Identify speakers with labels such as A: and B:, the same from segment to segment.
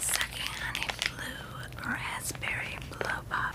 A: Sucking on a blue raspberry blow pop.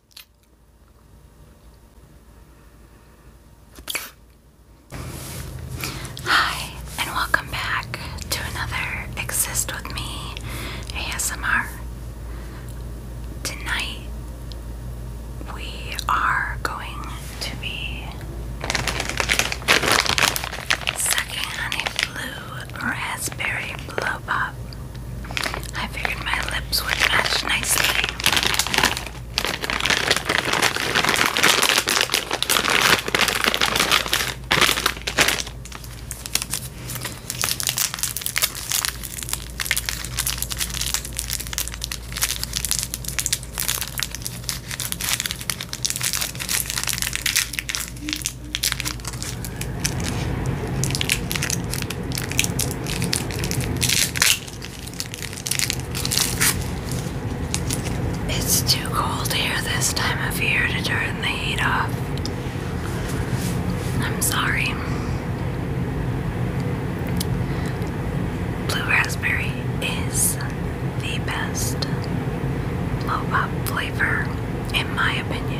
A: Hi, and welcome back to another Exist With Me ASMR. Tonight we are going to be sucking on a blue raspberry blow pop. I figured my lips would match nicely. It's too cold here this time of year to turn the heat off. I'm sorry. Blue raspberry is the best blow pop flavor, in my opinion.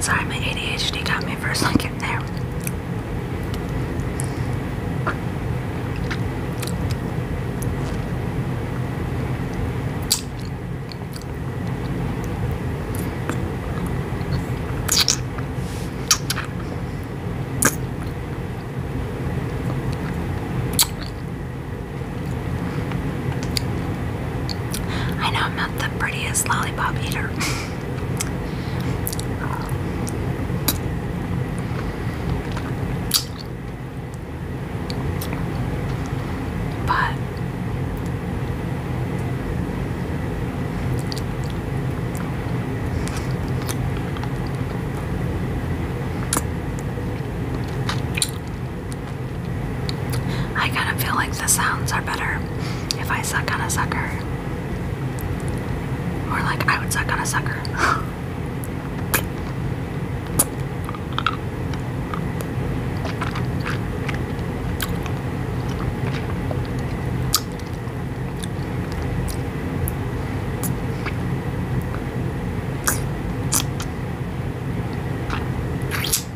A: Sorry, my ADHD got me for a second there. I know I'm not the prettiest lollipop eater. but I kind of feel like the sounds are better if I suck on a sucker. Or like I would suck on a sucker.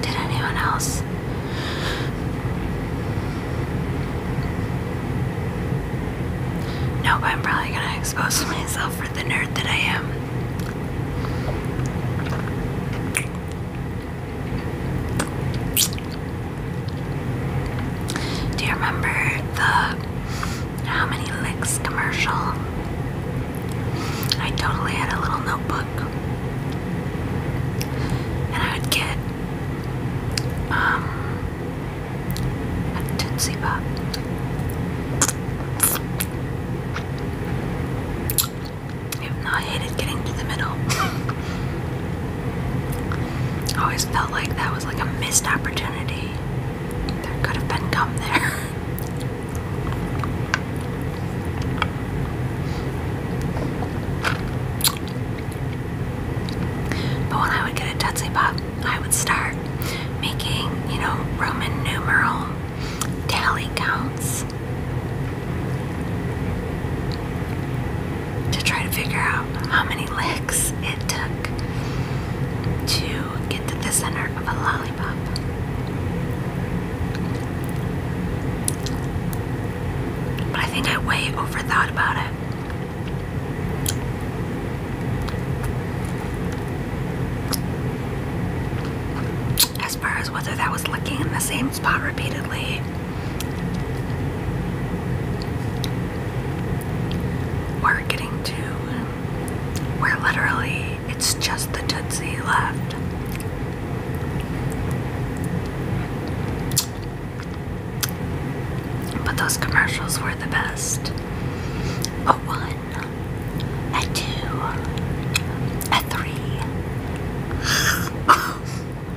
A: Did anyone else? Nope, I'm probably gonna expose myself for the nerd that I am. Do you remember the How Many Licks commercial? I totally had a little notebook. And I would get um, a Tootsie Pop. Even though I hated getting to the middle. I always felt like that was like a missed opportunity. There could have been gum there. But when I would get a Tetsi Pop, I would start making, you know, Roman numeral tally counts to try to figure out how many licks it took to get to the center of a lollipop. But I think I way overthought about it. As far as whether that was looking in the same spot repeatedly. We're getting to where literally it's just the Tootsie left. But those commercials were the best. A one, a two, a three.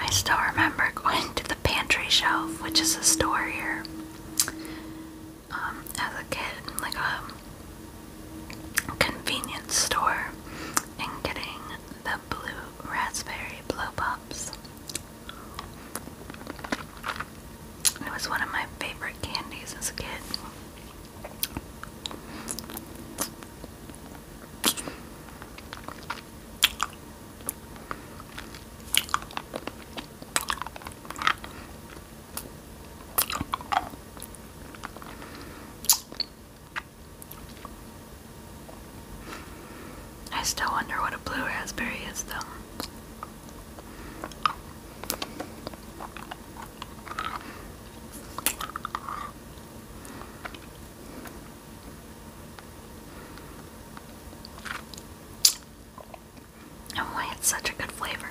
A: I still remember going to the pantry shelf, which is a store here, um, as a kid, like a convenience store, and getting the blue raspberry blow pops. It was one of my favorite candies as a kid. I still wonder what a blue raspberry is, though. And why it's such a good flavor.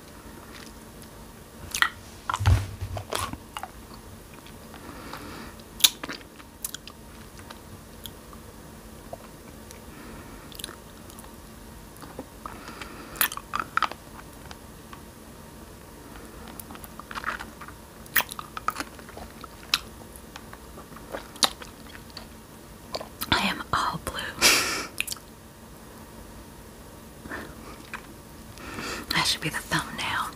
A: I am all blue. That should be the thumbnail.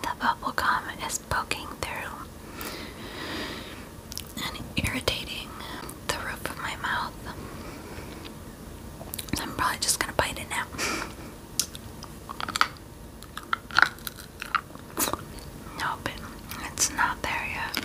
A: The bubble gum is poking through and irritating the roof of my mouth. I'm probably just gonna bite it now. nope, it's not there yet.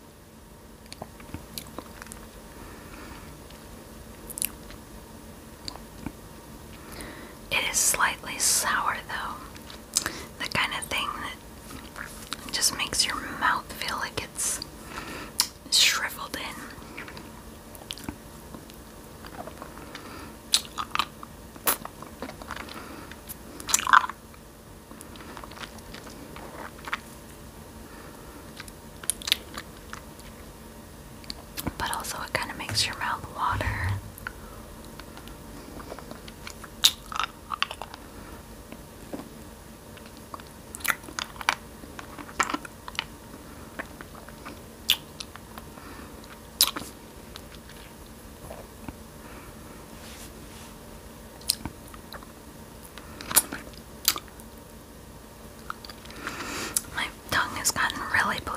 A: It is slightly sour, though. The kind of thing that just makes your mouth feel like it's shriveled in. But also, it kind of makes your mouth water. My tongue has gotten really blue.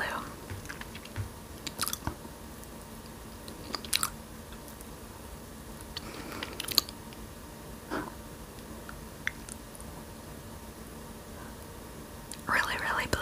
A: Really, really blue.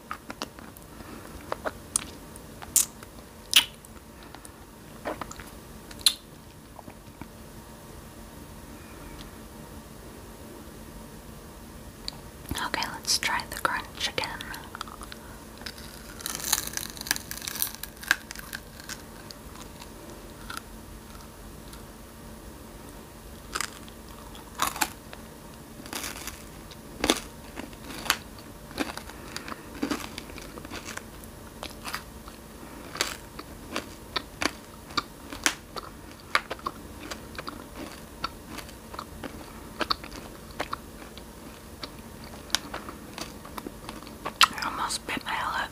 A: Okay, let's try the crunch again. I almost spit my lip.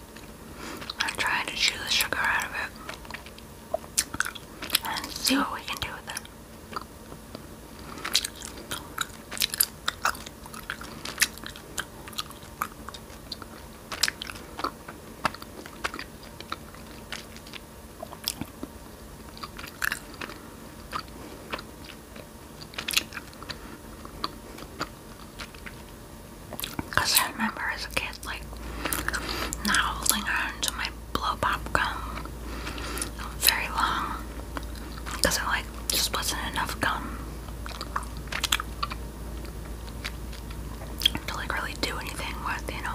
A: I'm trying to chew the sugar out of it and see what we can do with it. Because I remember as a kid, like, not holding on to my blow pop gum very long. Because I, like, just wasn't enough gum to, like, really do anything with, you know.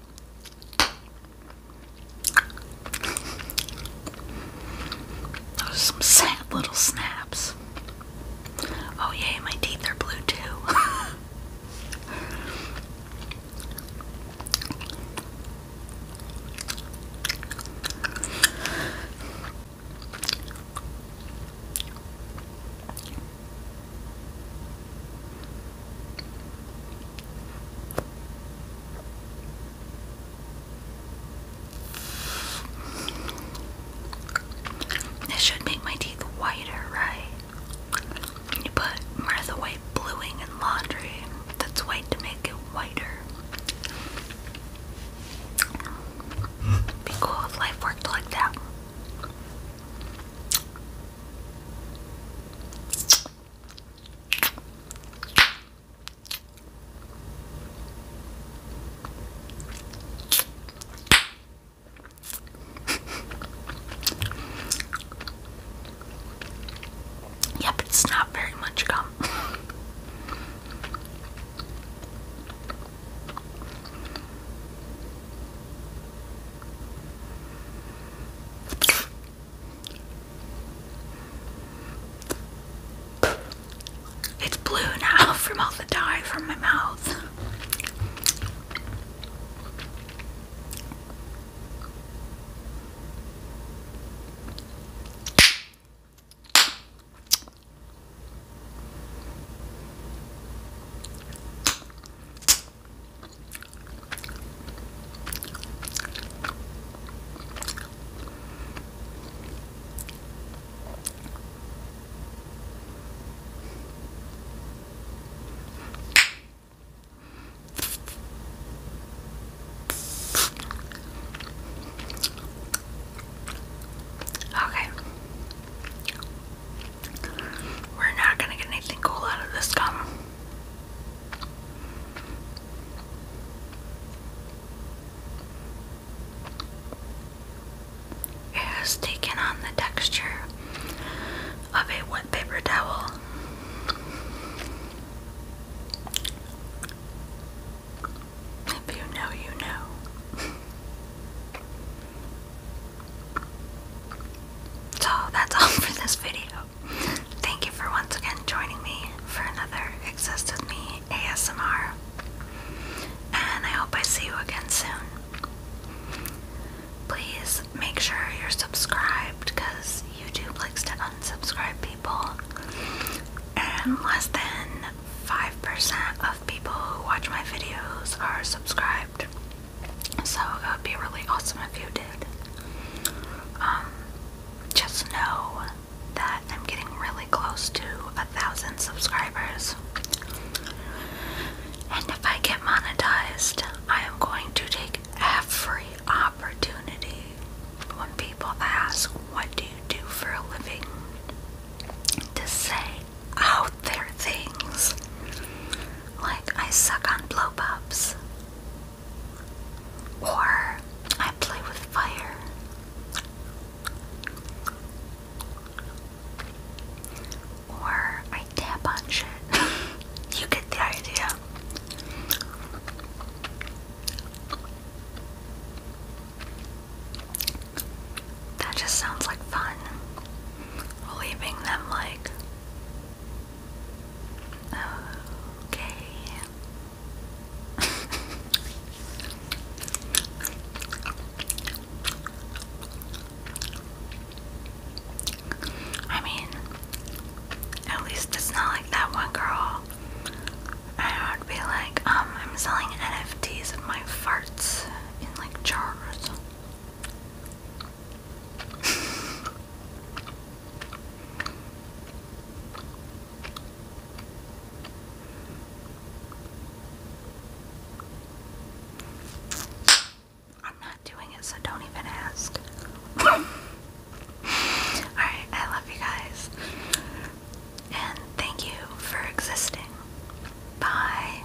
A: Those are some sad little snaps. Oh, yay, my teeth are blue too. This should make my teeth whiter, right? You put Martha White bluing in laundry that's white to make it whiter. Be cool if life worked like that. yep, it's not very much gum. It's blue now from all the dye from my mouth. Okay. We're not going to get anything cool out of this gum. It has taken on the texture of a wet paper towel. If you know, you know. so that's all for this video. Thank you for once again joining me for another Exist With Me ASMR. And I hope I see you again soon. Please make sure you're subscribed because YouTube likes to unsubscribe people. And less than 5% of people who watch my videos are subscribed. So it would be really awesome if you did. Um, just know that I'm getting really close to a thousand subscribers. And if I get monetized, I am going to take every opportunity when people ask, What do you do for a living? to say out there things like I suck on blow pops, or I play with fire. Or I tap on shit. you get the idea. That just sounds like fun. Leaving them like Okay. I mean, at least it's not like that one girl. I would be like, um, I'm selling NFTs of my farts in like jars. I'm not doing it, so don't even ask. Alright, I love you guys. And thank you for existing. Bye.